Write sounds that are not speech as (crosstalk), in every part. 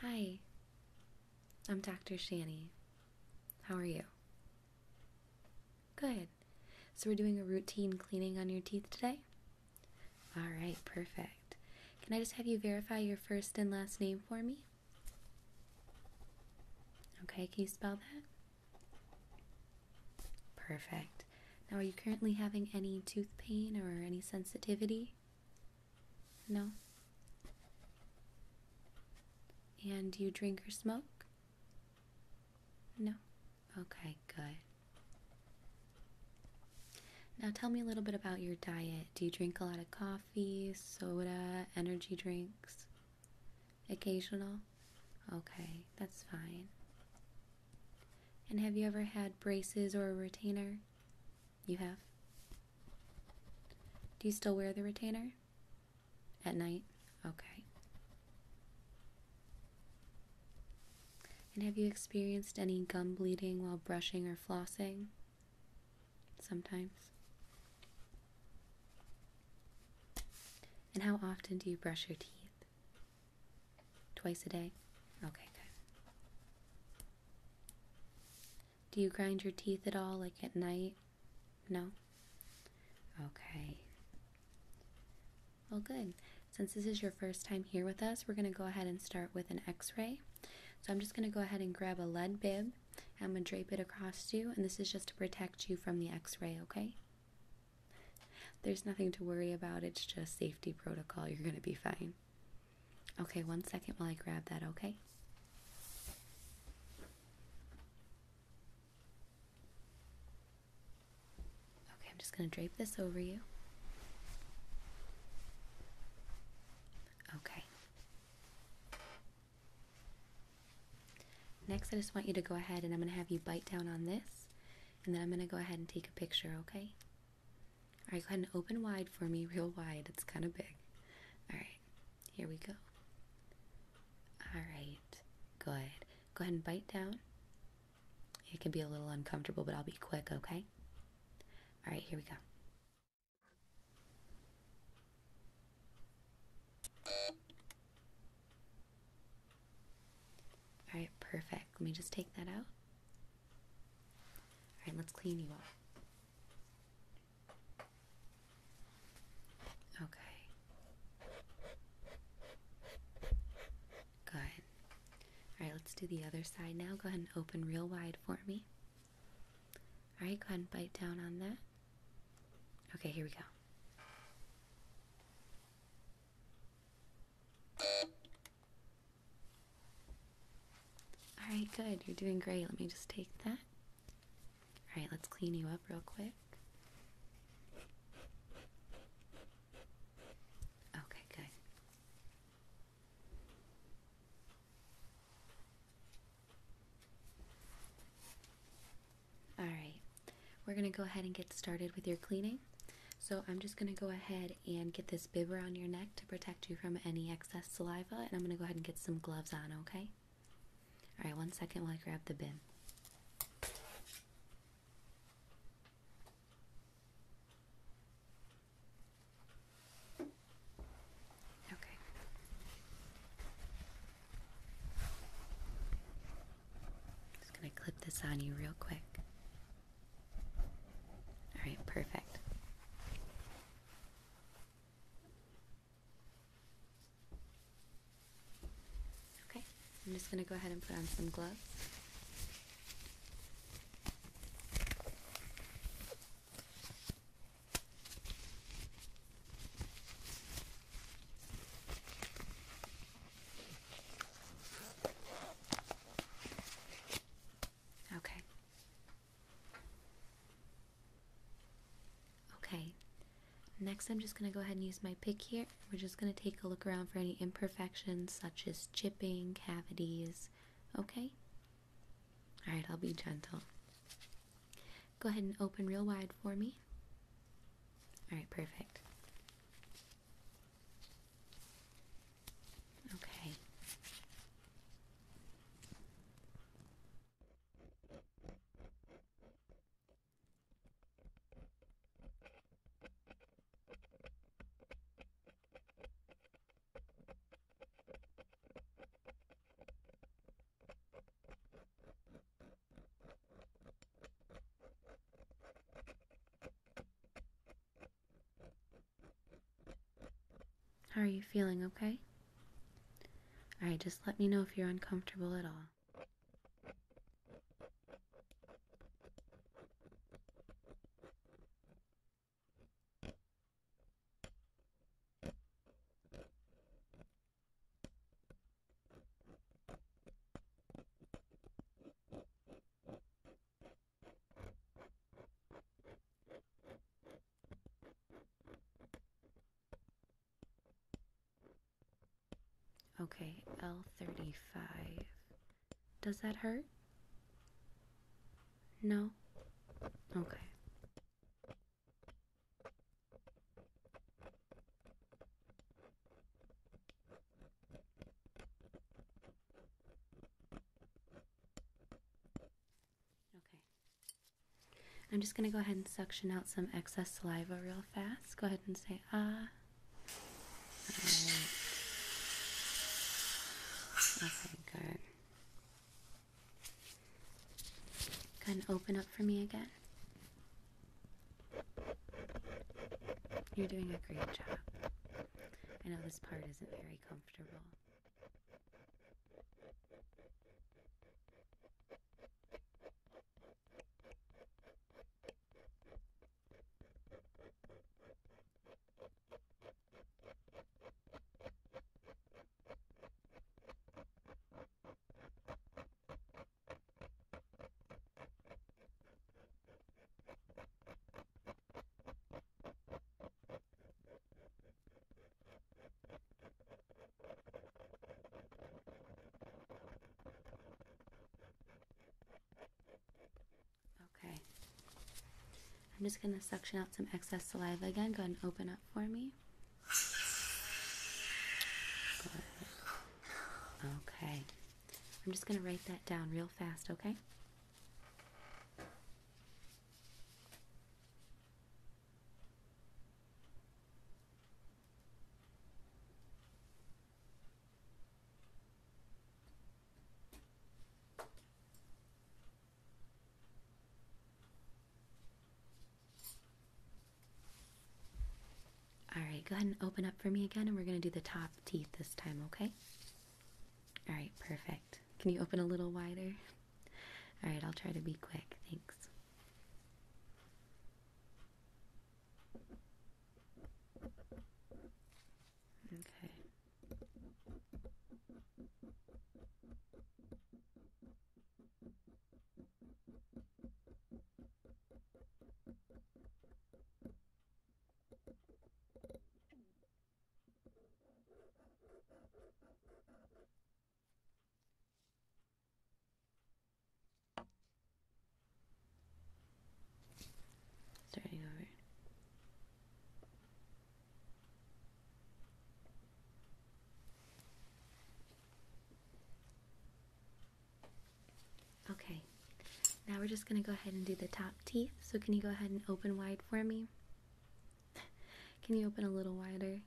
Hi, I'm Dr. Shanny. How are you? Good. So, we're doing a routine cleaning on your teeth today? All right, perfect. Can I just have you verify your first and last name for me? Okay, can you spell that? Perfect. Now, are you currently having any tooth pain or any sensitivity? No? And do you drink or smoke? No? Okay, good. Now, tell me a little bit about your diet. Do you drink a lot of coffee, soda, energy drinks? Occasional? Okay, that's fine. And have you ever had braces or a retainer? You have? Do you still wear the retainer? At night? Okay. And have you experienced any gum bleeding while brushing or flossing? Sometimes. And how often do you brush your teeth? Twice a day? Okay, good. Do you grind your teeth at all, like at night? No? Okay. Well, good. Since this is your first time here with us, we're going to go ahead and start with an x ray. So I'm just going to go ahead and grab a lead bib. I'm going to drape it across you, and this is just to protect you from the x ray, okay? There's nothing to worry about. It's just safety protocol. You're going to be fine. Okay, one second while I grab that, okay? Okay, I'm just going to drape this over you. Okay. Next, I just want you to go ahead and I'm going to have you bite down on this and then I'm going to go ahead and take a picture, okay? All right, go ahead and open wide for me, real wide. It's kind of big. All right, here we go. All right, good. Go ahead and bite down. It can be a little uncomfortable, but I'll be quick, okay? All right, here we go. All right, perfect. Let me just take that out. All right, let's clean you up. Okay. Good. All right, let's do the other side now. Go ahead and open real wide for me. All right, go ahead and bite down on that. Okay, here we go. All right, good. You're doing great. Let me just take that. All right, let's clean you up real quick. Okay, good. Alright, we're going to go ahead and get started with your cleaning. So I'm just going to go ahead and get this bib around your neck to protect you from any excess saliva, and I'm going to go ahead and get some gloves on, okay? Alright, one second while I grab the bib. Okay. Just gonna clip this on you real quick. All right, perfect. Okay, I'm just gonna go ahead and put on some gloves. Okay. Okay. Next, I'm just going to go ahead and use my pick here. We're just going to take a look around for any imperfections, such as chipping, cavities. Okay? Alright, I'll be gentle. Go ahead and open real wide for me. All right, perfect. Okay. How are you feeling, okay? Alright, just let me know if you're uncomfortable at all. Okay, L35. Does that hurt? No? Okay. Okay. I'm just going to go ahead and suction out some excess saliva real fast. Go ahead and say ah. Okay, good. Go ahead open up for me again. You're doing a great job. I know this part isn't very comfortable. Okay. I'm just going to suction out some excess saliva again. Go ahead and open up for me. Okay. I'm just going to write that down real fast, okay? Alright, go ahead and open up for me again, and we're going to do the top teeth this time, okay? Alright, perfect. Can you open a little wider? Alright, I'll try to be quick. Thanks. Okay. Starting over. Okay, now we're just going to go ahead and do the top teeth. So, can you go ahead and open wide for me? (laughs) can you open a little wider?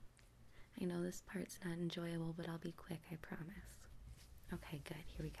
I know this part's not enjoyable, but I'll be quick, I promise. Okay, good. Here we go.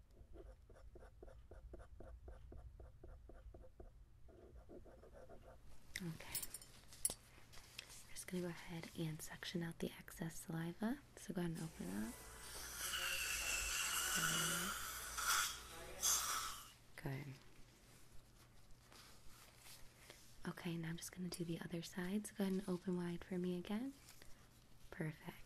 Okay. I'm just going to go ahead and suction out the excess saliva. So go ahead and open up. Good. Okay, now I'm just going to do the other side. So go ahead and open wide for me again. Perfect.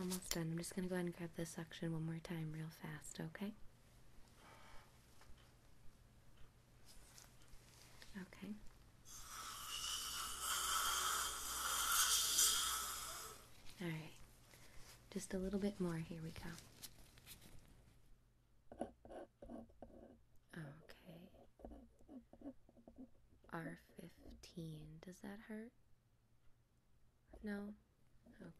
Almost done. I'm just going to go ahead and grab this suction one more time, real fast, okay? Okay. Alright. Just a little bit more. Here we go. Okay. R15. Does that hurt? No? Okay.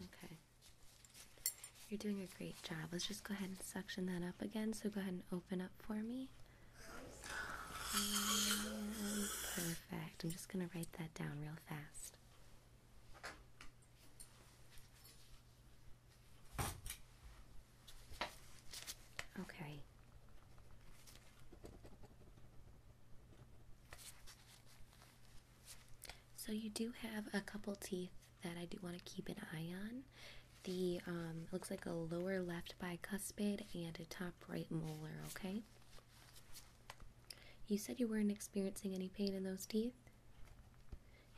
Okay. You're doing a great job. Let's just go ahead and suction that up again. So go ahead and open up for me. perfect. I'm just going to write that down real fast. Okay. So you do have a couple teeth that I do want to keep an eye on. The um, looks like a lower left bicuspid and a top right molar. Okay. You said you weren't experiencing any pain in those teeth.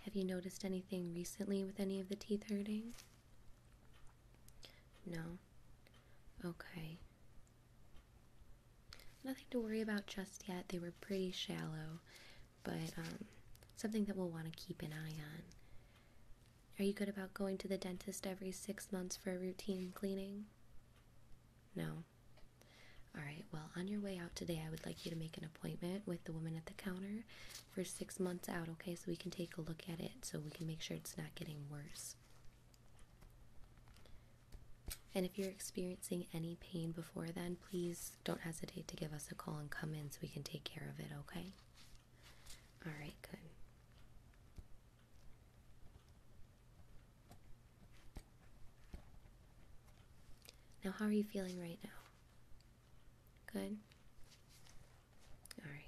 Have you noticed anything recently with any of the teeth hurting? No. Okay. Nothing to worry about just yet. They were pretty shallow, but um, something that we'll want to keep an eye on. Are you good about going to the dentist every six months for a routine cleaning? No. Alright, well, on your way out today, I would like you to make an appointment with the woman at the counter for six months out, okay? So we can take a look at it so we can make sure it's not getting worse. And if you're experiencing any pain before then, please don't hesitate to give us a call and come in so we can take care of it, okay? All right, good. Now, how are you feeling right now? Good? All right.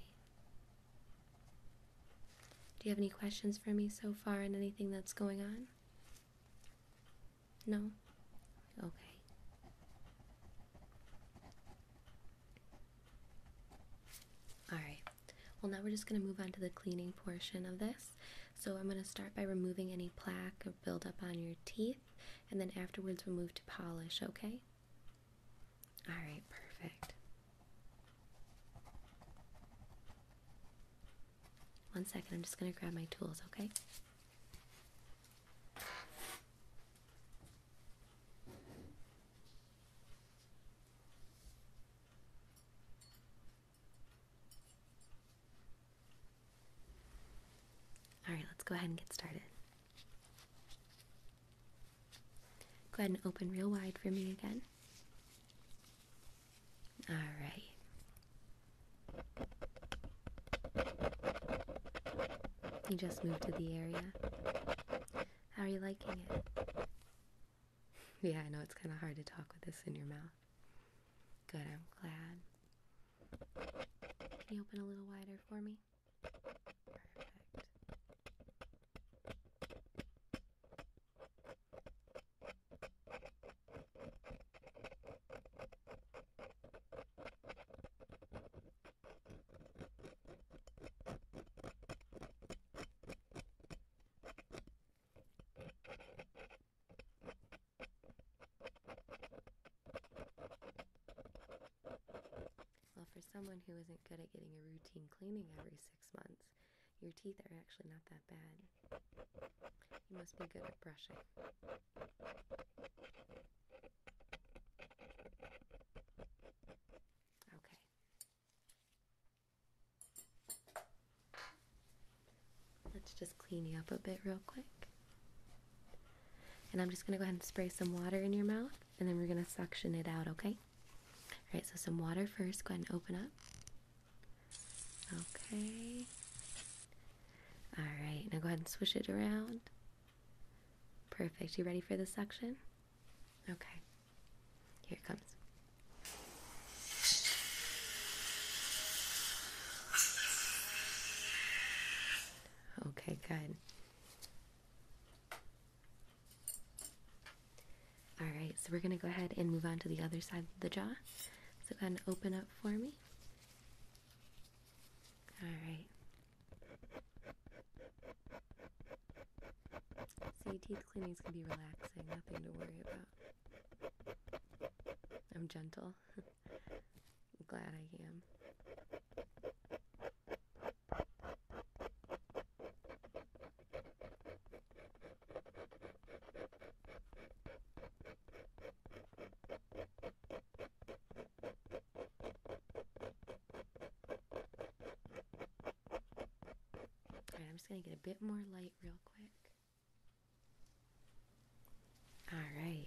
Do you have any questions for me so far and anything that's going on? No? Okay. Alright, well, now we're just going to move on to the cleaning portion of this. So, I'm going to start by removing any plaque or buildup on your teeth, and then afterwards, we'll move to polish, okay? Alright, perfect. One second, I'm just going to grab my tools, okay? All right, let's go ahead and get started. Go ahead and open real wide for me again. All right. You just moved to the area. How are you liking it? (laughs) yeah, I know it's kind of hard to talk with this in your mouth. Good, I'm glad. Can you open a little wider for me? Perfect. Well, for someone who isn't good at getting a routine cleaning every six months. Your teeth are actually not that bad. You must be good at brushing. Okay. Let's just clean you up a bit real quick. And I'm just going to go ahead and spray some water in your mouth, and then we're going to suction it out, okay? Alright, so some water first. Go ahead and open up. Okay. Alright, now go ahead and swish it around. Perfect. You ready for the suction? Okay. Here it comes. Okay, good. Alright, so we're going to go ahead and move on to the other side of the jaw. So go ahead and open up for me. Alright. See, teeth cleanings can be relaxing, nothing to worry about. I'm gentle. (laughs) glad I am. All right, I'm just going to get a bit more light real quick. All right.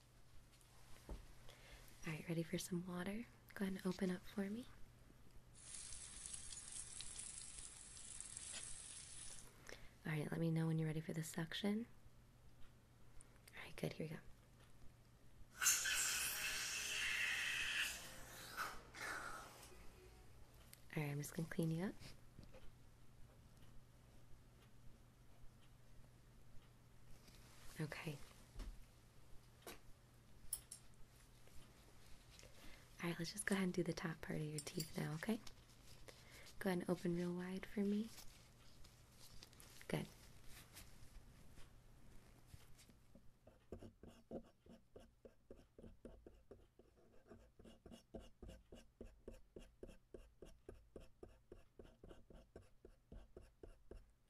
Alright, ready for some water? Go ahead and open up for me. Alright, let me know when you're ready for the suction. Alright, good, here we go. Alright, I'm just gonna clean you up. Okay. Alright, let's just go ahead and do the top part of your teeth now, okay? Go ahead and open real wide for me. Good.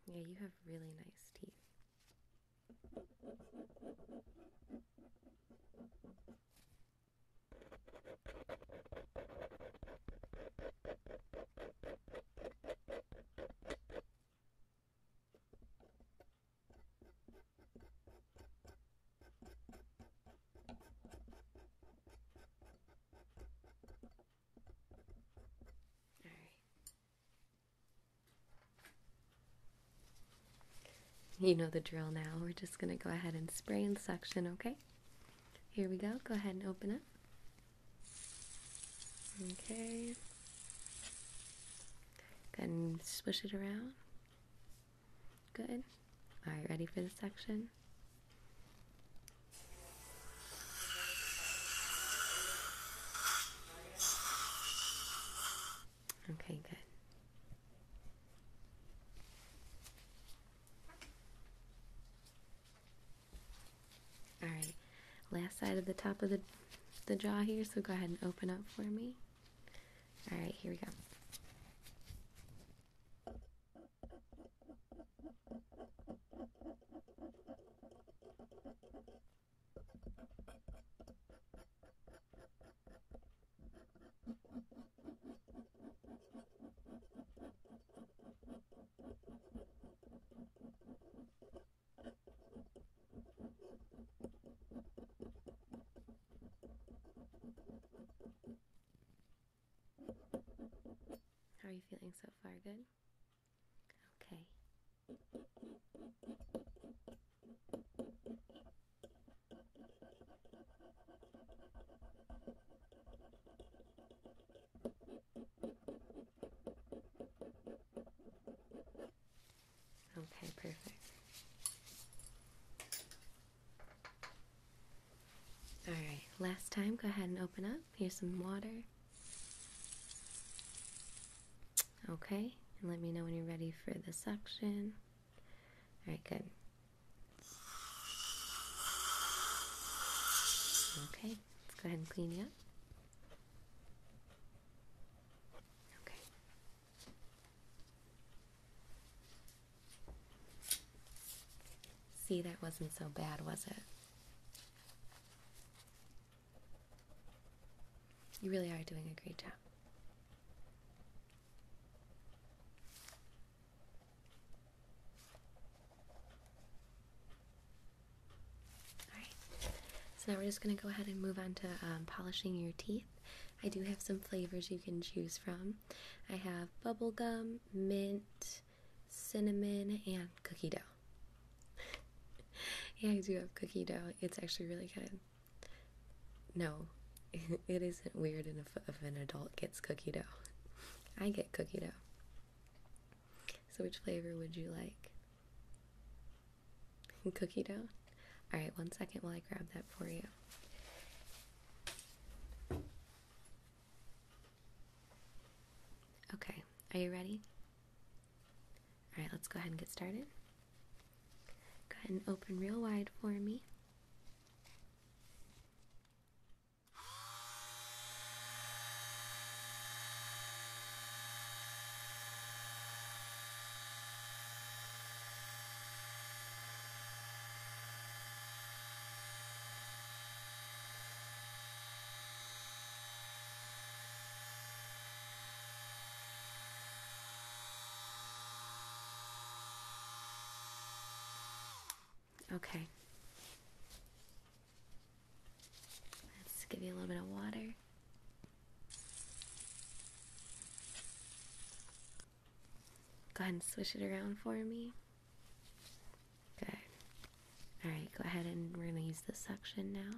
Yeah, you have really nice teeth. You know the drill now. We're just going to go ahead and spray and suction, okay? Here we go. Go ahead and open up. Okay. Go and swish it around. Good. All right, ready for the suction? Okay, good. All right, last side of the top of the, the jaw here, so go ahead and open up for me. All right, here we go. How are you feeling so far? Good? Okay. Okay, perfect. All right, last time, go ahead and open up. Here's some water. Okay, let me know when you're ready for the suction. All right, good. Okay, let's go ahead and clean you up. Okay. See, that wasn't so bad, was it? You really are doing a great job. Alright, so now we're just going to go ahead and move on to um, polishing your teeth. I do have some flavors you can choose from. I have bubblegum, mint, cinnamon, and cookie dough. (laughs) yeah, I do have cookie dough. It's actually really good. No, (laughs) it isn't weird enough if an adult gets cookie dough. (laughs) I get cookie dough. So, which flavor would you like? cookie dough? Alright, one second while I grab that for you. Okay, are you ready? Alright, let's go ahead and get started. Go ahead and open real wide for me. Okay. Let's give you a little bit of water. Go ahead and swish it around for me. Good. Alright, go ahead and release the suction now.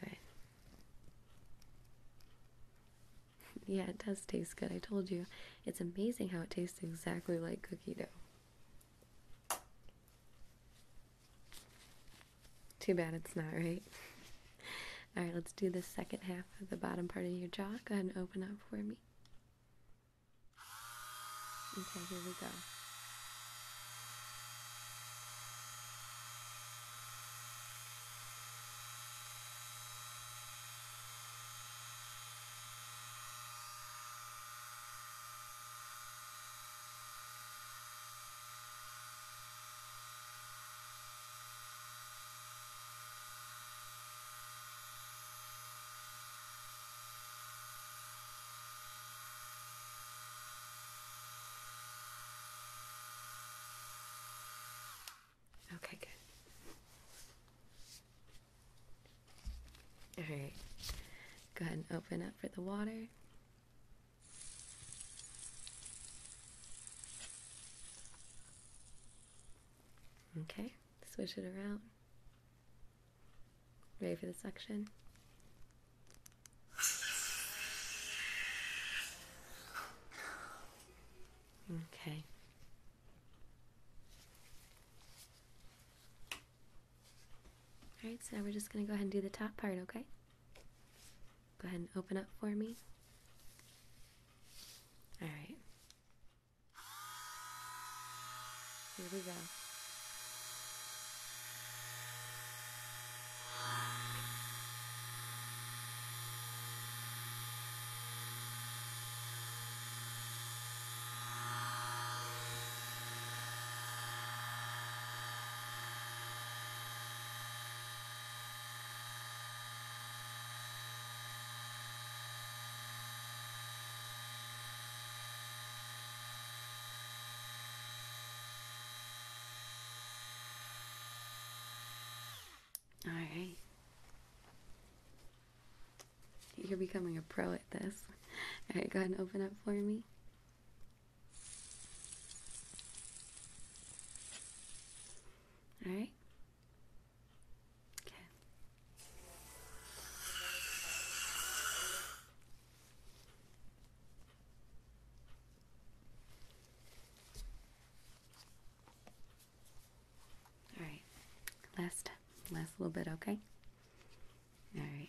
Good. (laughs) yeah, it does taste good. I told you. It's amazing how it tastes exactly like cookie dough. Too bad it's not, right? (laughs) (laughs) All right, let's do the second half of the bottom part of your jaw. Go ahead and open up for me. Okay, here we go. Okay, good. All right. Go ahead and open up for the water. Okay, switch it around. Ready for the suction? Okay. Alright, so now we're just going to go ahead and do the top part, okay? Go ahead and open up for me. All right. Here we go. All right. You're becoming a pro at this. All right, go ahead and open up for me. All right? Okay. All right. Last last little bit, okay? All right.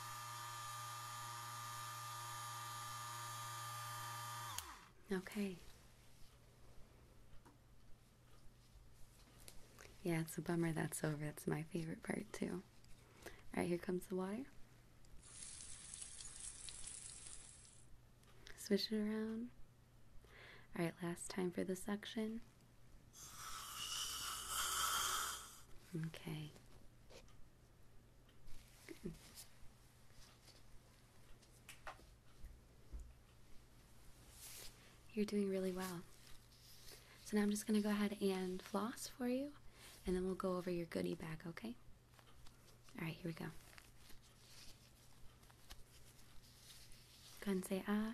Okay. Yeah, it's a bummer that's over. It's my favorite part, too. Alright, here comes the water. Swish it around. Alright, last time for the suction. Okay. You're doing really well. So now I'm just going to go ahead and floss for you, and then we'll go over your goody bag, okay? All right, here we go. Go say ah.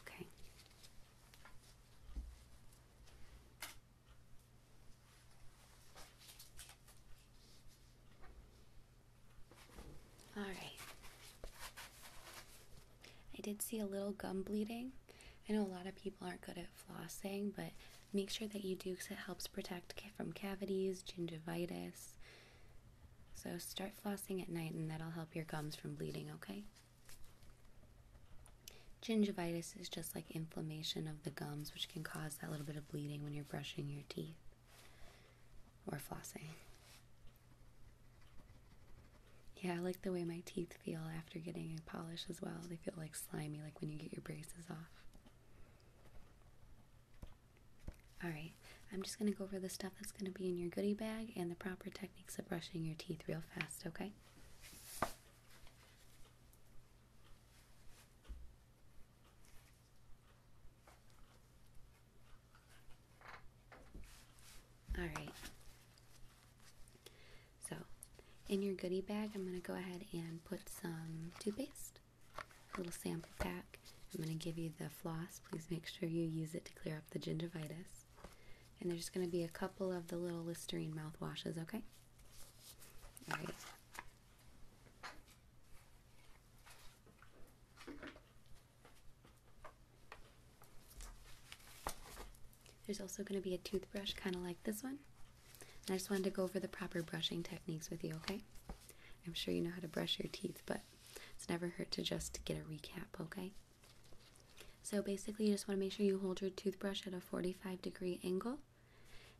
Okay. All right. I did see a little gum bleeding. I know a lot of people aren't good at flossing, but make sure that you do because it helps protect from cavities, gingivitis. So start flossing at night and that'll help your gums from bleeding, okay? Gingivitis is just like inflammation of the gums, which can cause that little bit of bleeding when you're brushing your teeth or flossing. Yeah, I like the way my teeth feel after getting a polish as well. They feel like slimy, like when you get your braces off. Alright, I'm just going to go over the stuff that's going to be in your goody bag and the proper techniques of brushing your teeth real fast, okay? Alright, so in your goody bag, I'm going to go ahead and put some toothpaste, a little sample pack. I'm going to give you the floss. Please make sure you use it to clear up the gingivitis. And there's going to be a couple of the little Listerine mouthwashes, okay? All right. There's also going to be a toothbrush, kind of like this one. I just wanted to go over the proper brushing techniques with you, okay? I'm sure you know how to brush your teeth, but it's never hurt to just get a recap, okay? So basically, you just want to make sure you hold your toothbrush at a 45 degree angle,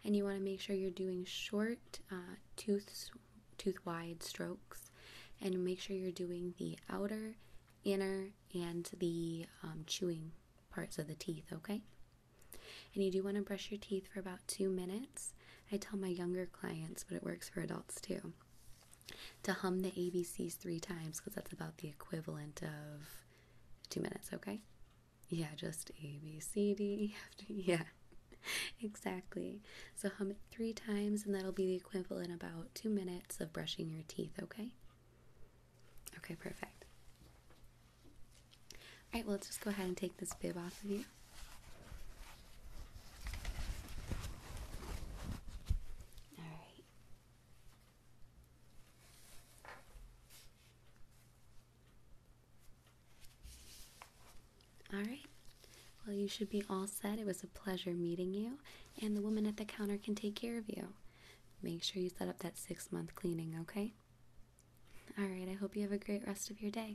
and you want to make sure you're doing short uh, tooth tooth wide strokes, and make sure you're doing the outer, inner, and the um, chewing parts of the teeth. Okay. And you do want to brush your teeth for about two minutes. I tell my younger clients, but it works for adults too to hum the ABCs three times because that's about the equivalent of two minutes, okay? Yeah, just A B C D. (laughs) Yeah, exactly. So hum it three times, and that'll be the equivalent about two minutes of brushing your teeth, okay? Okay, perfect. Alright, well, let's just go ahead and take this bib off of you. All right. All right. Well, you should be all set. It was a pleasure meeting you, and the woman at the counter can take care of you. Make sure you set up that six month cleaning, okay? All right. I hope you have a great rest of your day.